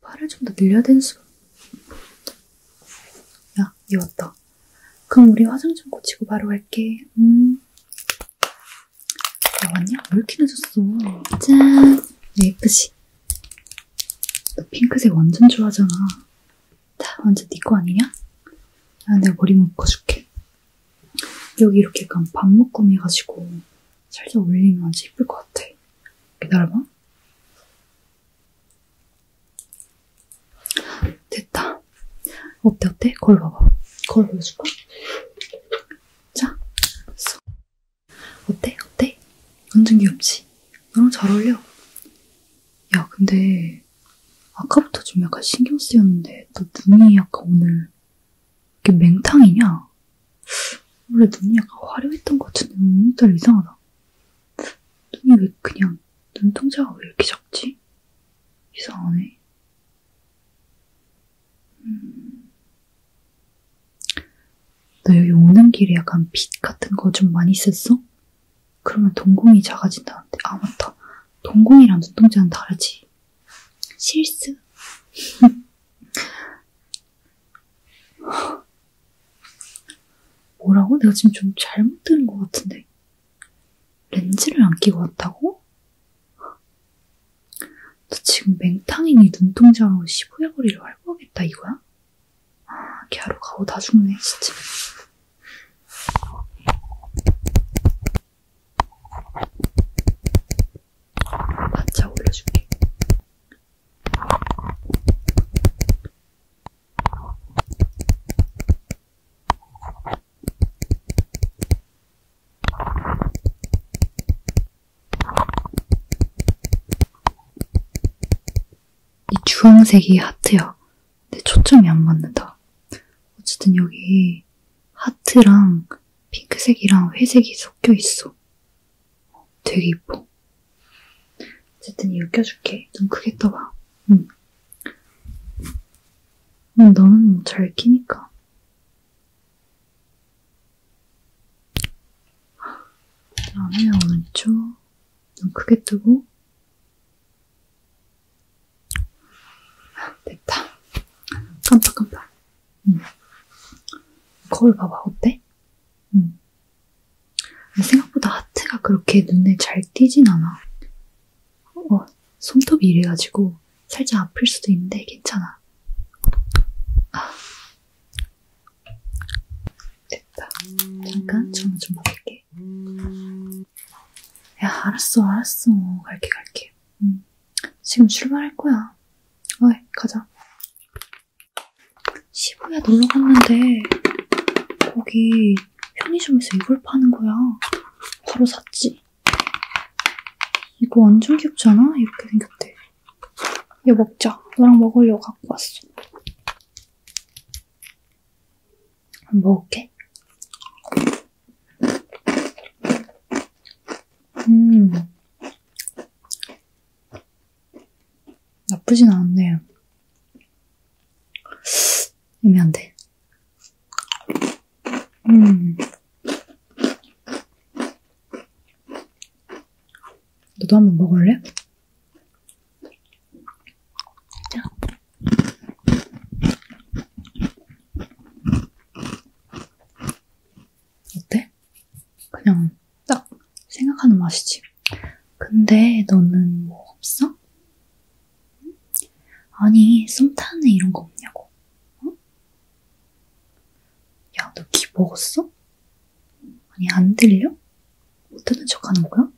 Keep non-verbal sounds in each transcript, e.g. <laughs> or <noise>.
팔을 좀 더 늘려야 되는 수가 야, 이 왔다. 그럼 우리 화장 좀 고치고 바로 갈게. 음. 야, 왔냐? 왜 이렇게 늦었어? 짠! 네, 예쁘지? 너 핑크색 완전 좋아하잖아. 다 완전 네 거 아니냐? 아, 내가 머리 묶어줄게. 여기 이렇게 약간 반묶음 해가지고 살짝 올리면 아주 예쁠 것 같아. 기다려봐. 됐다. 어때, 어때? 거울 봐봐. 거울 보여줄까? 자, 됐어. 어때, 어때? 완전 귀엽지? 너랑 잘 어울려. 야, 근데 아까부터 좀 약간 신경 쓰였는데 너 눈이 약간 오늘 이게 맹탕이냐? 원래 눈이 약간 화려했던 것 같은데 오늘따라 이상하다. 눈이 왜 그냥 눈동자가 왜 이렇게 작지? 이상하네. 음... 너 여기 오는 길에 약간 빛 같은 거 좀 많이 있었어? 그러면 동공이 작아진다는데 아 맞다. 동공이랑 눈동자는 다르지. 실수. <laughs> 뭐라고? 내가 지금 좀 잘못 들은 것 같은데. 렌즈를 안 끼고 왔다고? 너 지금 맹탕이니 눈동자로 시부야거리를 활보하겠다 이거야? 아, 걔하러 가고 다 죽네, 진짜. 반차 올려줄게. 이 주황색이 하트야. 내 초점이 안 맞는다. 어쨌든 여기 하트랑 핑크색이랑 회색이 섞여 있어. 되게 이뻐. 어쨌든 이거 껴줄게. 좀 크게 떠봐. 응. 응 너는 뭐잘 끼니까. 그 다음에 오른쪽 눈 크게 뜨고 됐다. 깜짝깜짝. 응. 음. 거울 봐봐, 어때? 응. 음. 생각보다 하트가 그렇게 눈에 잘 띄진 않아. 어, 손톱이 이래가지고 살짝 아플 수도 있는데 괜찮아. 아. 됐다. 잠깐 전화 좀 받을게. 야, 알았어, 알았어. 갈게, 갈게. 응. 음. 지금 출발할 거야. 어이, 가자. 시부야 놀러 갔는데, 거기 편의점에서 이걸 파는 거야. 바로 샀지. 이거 완전 귀엽지 않아? 이렇게 생겼대. 이거 먹자. 너랑 먹으려고 갖고 왔어. 먹을게. 음. 나쁘진 않네요. 애매한데. 음. 너도 한번 먹을래? 자. 어때? 그냥 딱 생각하는 맛이지. 근데 너는 뭐 없어? 응? 아니, 썸타는 이런 거 없냐고. 응? 어? 야, 너기 먹었어? 아니, 안 들려? 못 듣는 척 하는 거야?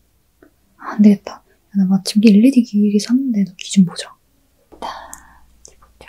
아, 안 되겠다. 야, 나 마침 1, 2기 일이 샀는데 너기좀 보자. 다 집었죠.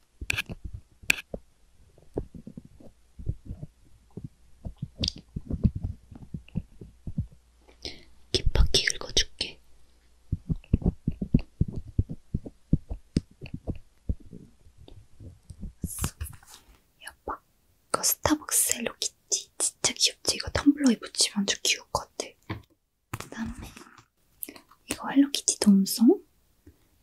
깊박히 읽어줄게. 여봐, 이거 스타벅스 헬로키티 진짜 귀엽지? 이거 텀블러에 붙이면 아주 귀여울 것 같아. 그 다음에 이거 헬로키티 돔송?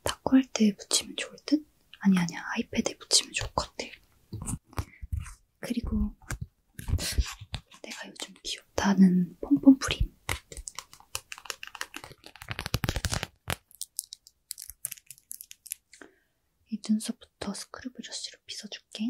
다크할때 붙이면 좋을 듯? 아니 아니야 아이패드에 붙이면 좋을 것 같아. 그리고 내가 요즘 귀엽다는 폼폼 프림. 이 눈썹부터 스크류 브러쉬로 빗어줄게.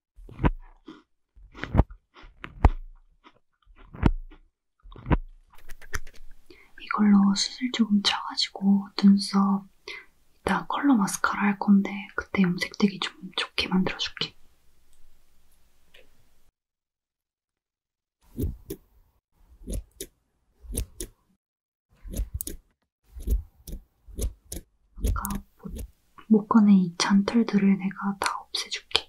이걸로 수술 조금 쳐가지고 눈썹 이따 컬러 마스카라 할 건데 그때 염색되기 좀 좋게 만들어줄게. 아까 못 꺼낸 이 잔털들을 내가 다 없애줄게.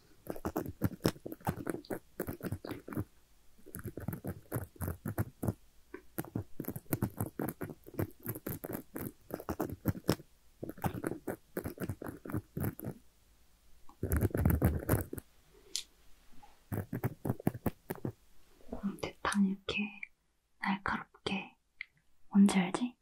대판 이렇게 날카롭게 뭔지 알지?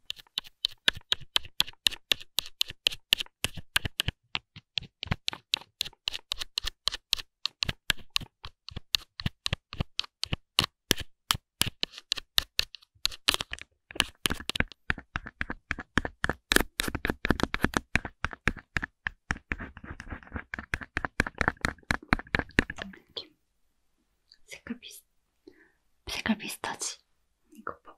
느낌. 색깔 비슷, 색깔 비슷하지? 이거 봐봐.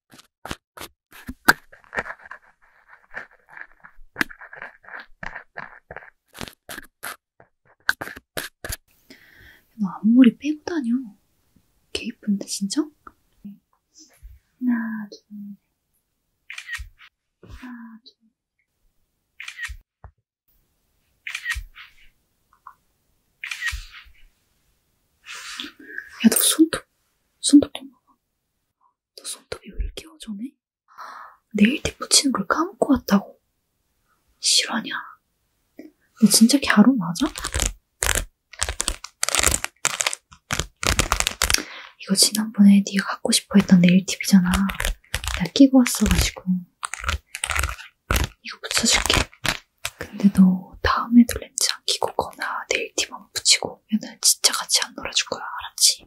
너 앞머리 빼고 다녀. 개 이쁜데 진짜? 하나, 둘, 하나, 둘. 야, 너 손톱 손톱 좀 뭐. 봐봐. 너 손톱이 왜 이렇게 어전해? 네일팁 붙이는 걸 까먹고 왔다고. 실화냐? 너 진짜 갸루 맞아? 이거 지난번에 네가 갖고 싶어 했던 네일팁이잖아. 내가 끼고 왔어가지고. 이거 붙여줄게. 근데 너 다음에도 렌즈 안 끼고 거나 네일 팁만 붙이고 오면은 진짜 같이 안 놀아줄 거야, 알았지?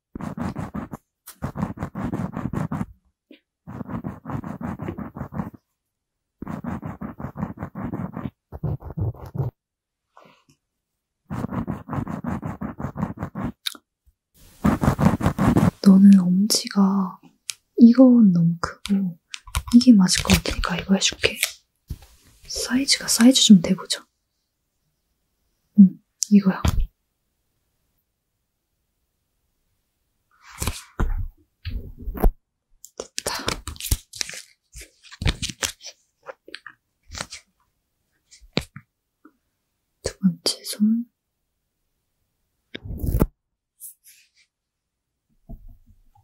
너는 엄지가 이건 너무 크고 이게 맞을 것 같으니까 이거 해줄게. 사이즈가 사이즈 좀 대보자. 음, 이거야. 됐다. 두 번째 손.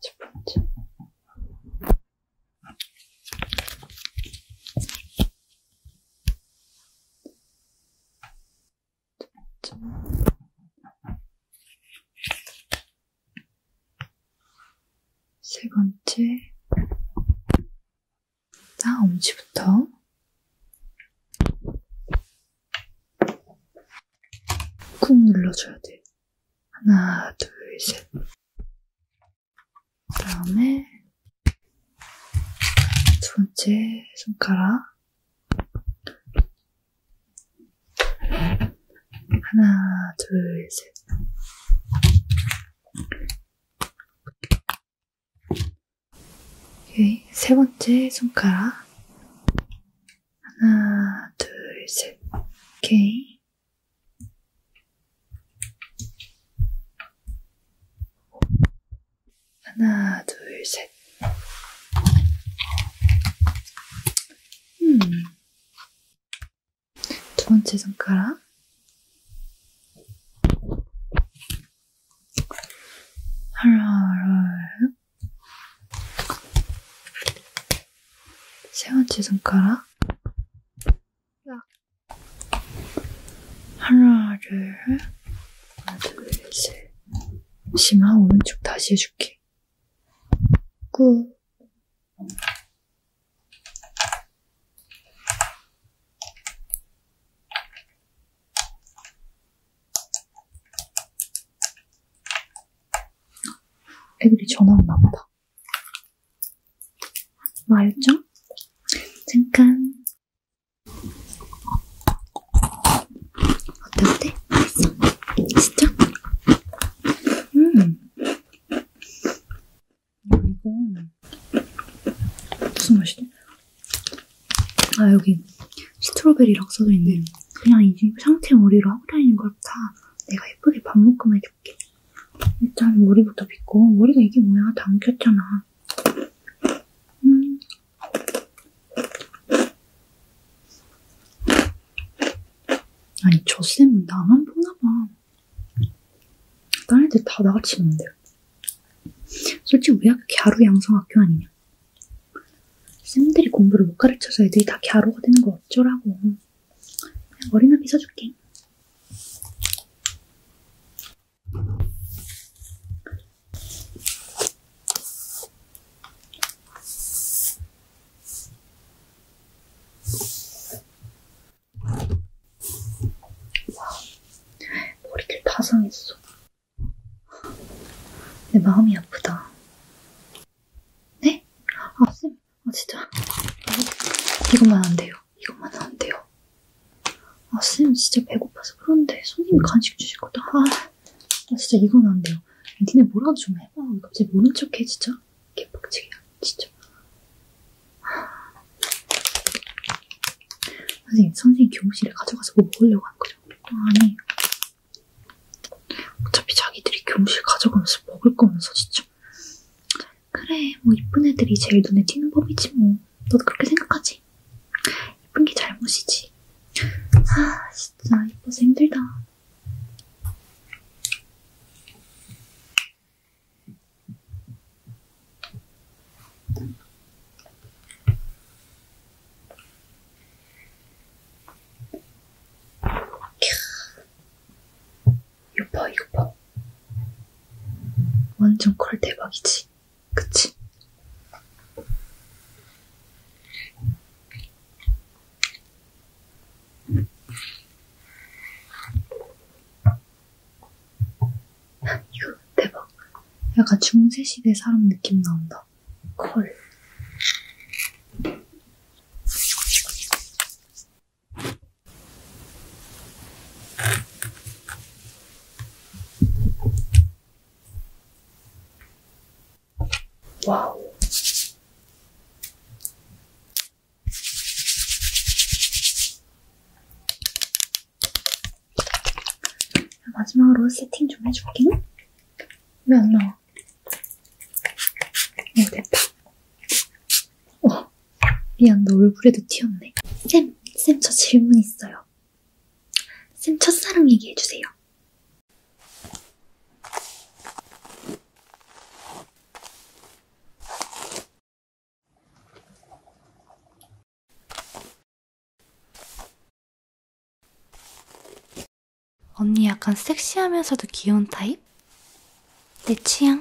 첫 번째. 세 번째, 땅엄지부터 꾹 눌러줘야 돼. 하나, 둘, 셋. 그 다음에 두 번째 손가락 하나, 둘, 셋. 오케이. 세 번째 손가락. 하나, 둘, 셋. 오케이. 하나, 둘, 셋. 음. 두 번째 손가락. 하라라요. 세 번째 손가락. 하나를 하나 둘셋 심하 오른쪽 다시 해줄게 꾹 애들이 전화 왔나 보다 말죠? 잠깐. 어때, 어때? 맛있어? 맛있죠? 음. 이거 무슨 맛이지? 아, 여기 스트로베리라고 써져 있네. 그냥 이 상체 머리로 하고 다니는 걸 다 내가 예쁘게 밥 묶음해줘. 해줄게. 일단 머리부터 빗고 머리가 이게 뭐야? 당겼잖아. 음. 아니 저 쌤은 나만 보나봐. 다른 애들 다 나같이 는데 솔직히 왜 갸루 양성학교 아니냐? 쌤들이 공부를 못 가르쳐서 애들이 다 갸루가 되는 거 어쩌라고. 머리나 빗어줄게. 머리를 다 상했어. 내 마음이 아프다. 네? 아, 쌤. 아 진짜 이것만 안 돼요. 이것만 안 돼요. 아쌤 진짜 배고파서 그런데 손님이 간식 주실 것도 아, 아 진짜 이건 안 돼요. 니네 뭐라도 좀 해봐. 갑자기 모른 척해 진짜 개빡치기야 진짜. 선생님, 선생님 교무실에 가져가서 뭐 먹으려고 한 거죠? 아, 아니. 어차피 자기들이 교무실 가져가면서 먹을 거면서 진짜. 그래, 뭐 이쁜 애들이 제일 눈에 띄는 법이지 뭐. 너도 그렇게 생각하지? 이쁜 게 잘못이지. 아, 진짜 이뻐서 힘들다. 6퍼 6퍼 완전 콜 대박이지 그치? 이거 대박 약간 중세시대 사람 느낌 나온다 콜 와우. 마지막으로 세팅 좀 해줄게. 왜 안 나와? 어, 됐다. 어. 미안, 너 얼굴에도 튀었네. 쌤, 쌤, 저 질문 있어요. 쌤, 첫사랑 얘기해주세요. 언니 약간 섹시하면서도 귀여운 타입? 내 취향?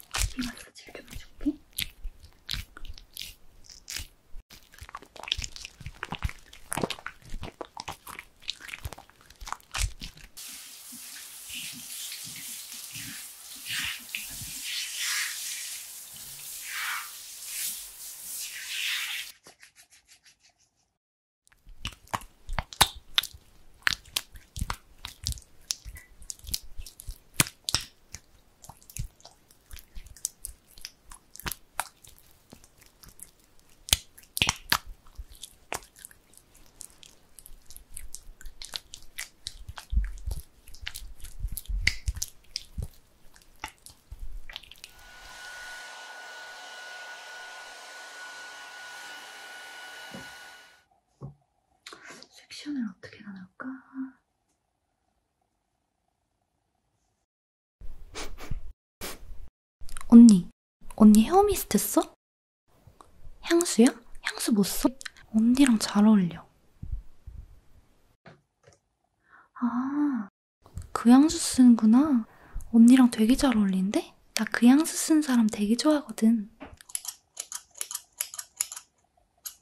이마트 즐겨만 쇼핑? 섹션을 어떻게 나눌까? <laughs> 언니, 언니 헤어미스트 써? 향수야? 향수 못 뭐 써? 언니랑 잘 어울려. 아, 그 향수 쓰는구나. 언니랑 되게 잘 어울린데? 나 그 향수 쓰는 사람 되게 좋아하거든.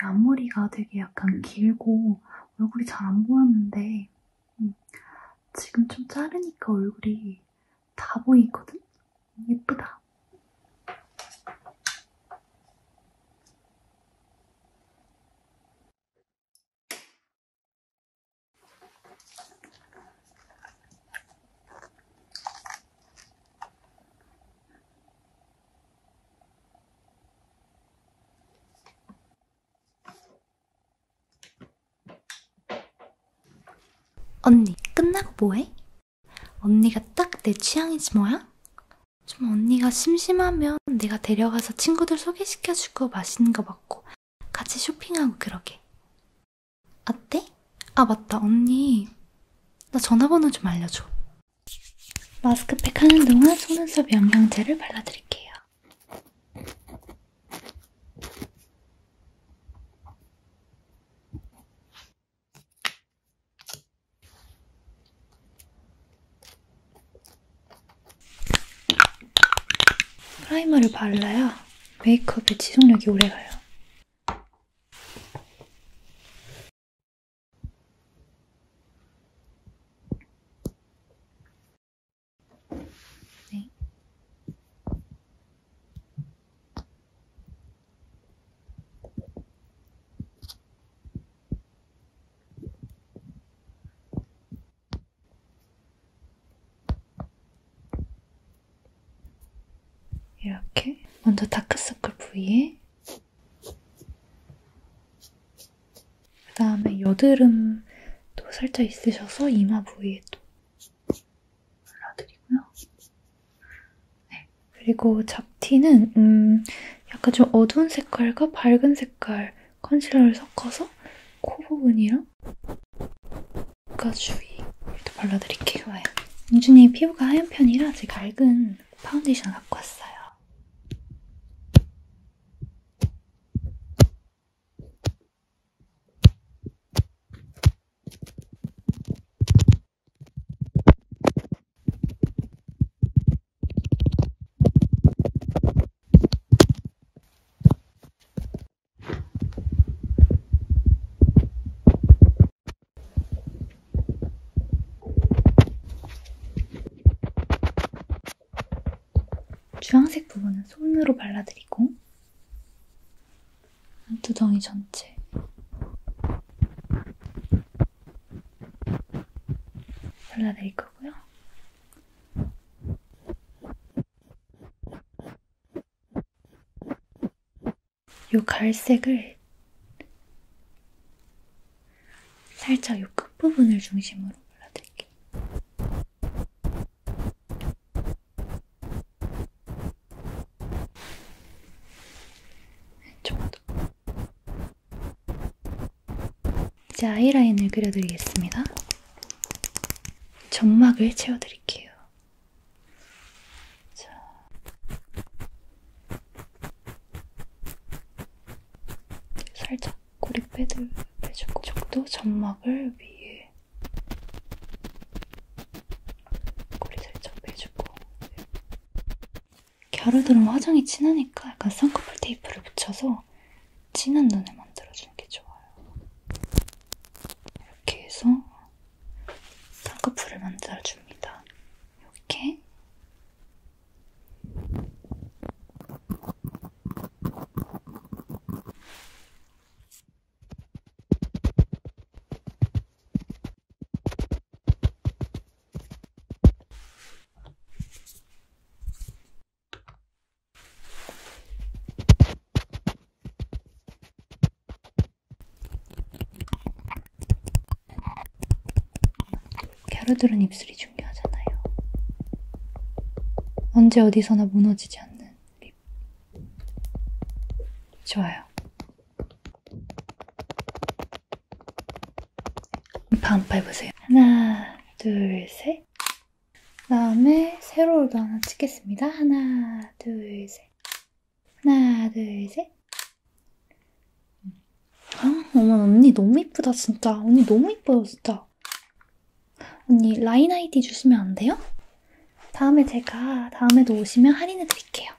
이 앞머리가 되게 약간 길고 얼굴이 잘 안 보였는데 음, 지금 좀 자르니까 얼굴이 다 보이거든? 예쁘다. 언니, 끝나고 뭐해? 언니가 딱 내 취향이지 뭐야? 좀 언니가 심심하면 내가 데려가서 친구들 소개시켜주고 맛있는 거 먹고 같이 쇼핑하고 그러게. 어때? 아 맞다 언니 나 전화번호 좀 알려줘. 마스크팩 하는 동안 속눈썹 영양제를 발라드릴게요. 프라이머를 발라야 메이크업의 지속력이 오래가요. 네. 이렇게 먼저 다크서클 부위에 그 다음에 여드름도 살짝 있으셔서 이마 부위에 또 발라드리고요. 네. 그리고 잡티는 음 약간 좀 어두운 색깔과 밝은 색깔 컨실러를 섞어서 코 부분이랑 눈가 주위도 발라드릴게요. 영준이 피부가 하얀 편이라 제가 얇은 파운데이션을 갖고 왔어요. 주황색 부분은 손으로 발라드리고 두덩이 전체 발라드릴 거고요. 요 갈색을 살짝 요 끝부분을 중심으로 발라드릴게요. 왼쪽도 이제 아이라인을 그려드리겠습니다. 점막을 채워드릴게요. 자. 살짝 꼬리빼드 빼주고 저도 점막을 위에 꼬리 살짝 빼주고 갸루들은 화장이 진하니까 약간 쌍꺼풀 테이프를 붙여서 진한 눈을 만들어주는 게 좋아요. 이렇게 해서 쌍꺼풀을 만들어줍니다. 이렇게 갸루들은 입술이 중요하잖아요. 언제 어디서나 무너지지 않는 립. 좋아요. 반파 해보세요. 하나, 둘, 셋. 그 다음에 세로로도 하나 찍겠습니다. 하나, 둘, 셋. 하나, 둘, 셋. 아, 어머, 언니 너무 이쁘다, 진짜. 언니 너무 이뻐요, 진짜. 언니 라인 아이디 주시면 안 돼요? 다음에 제가 다음에도 오시면 할인해 드릴게요.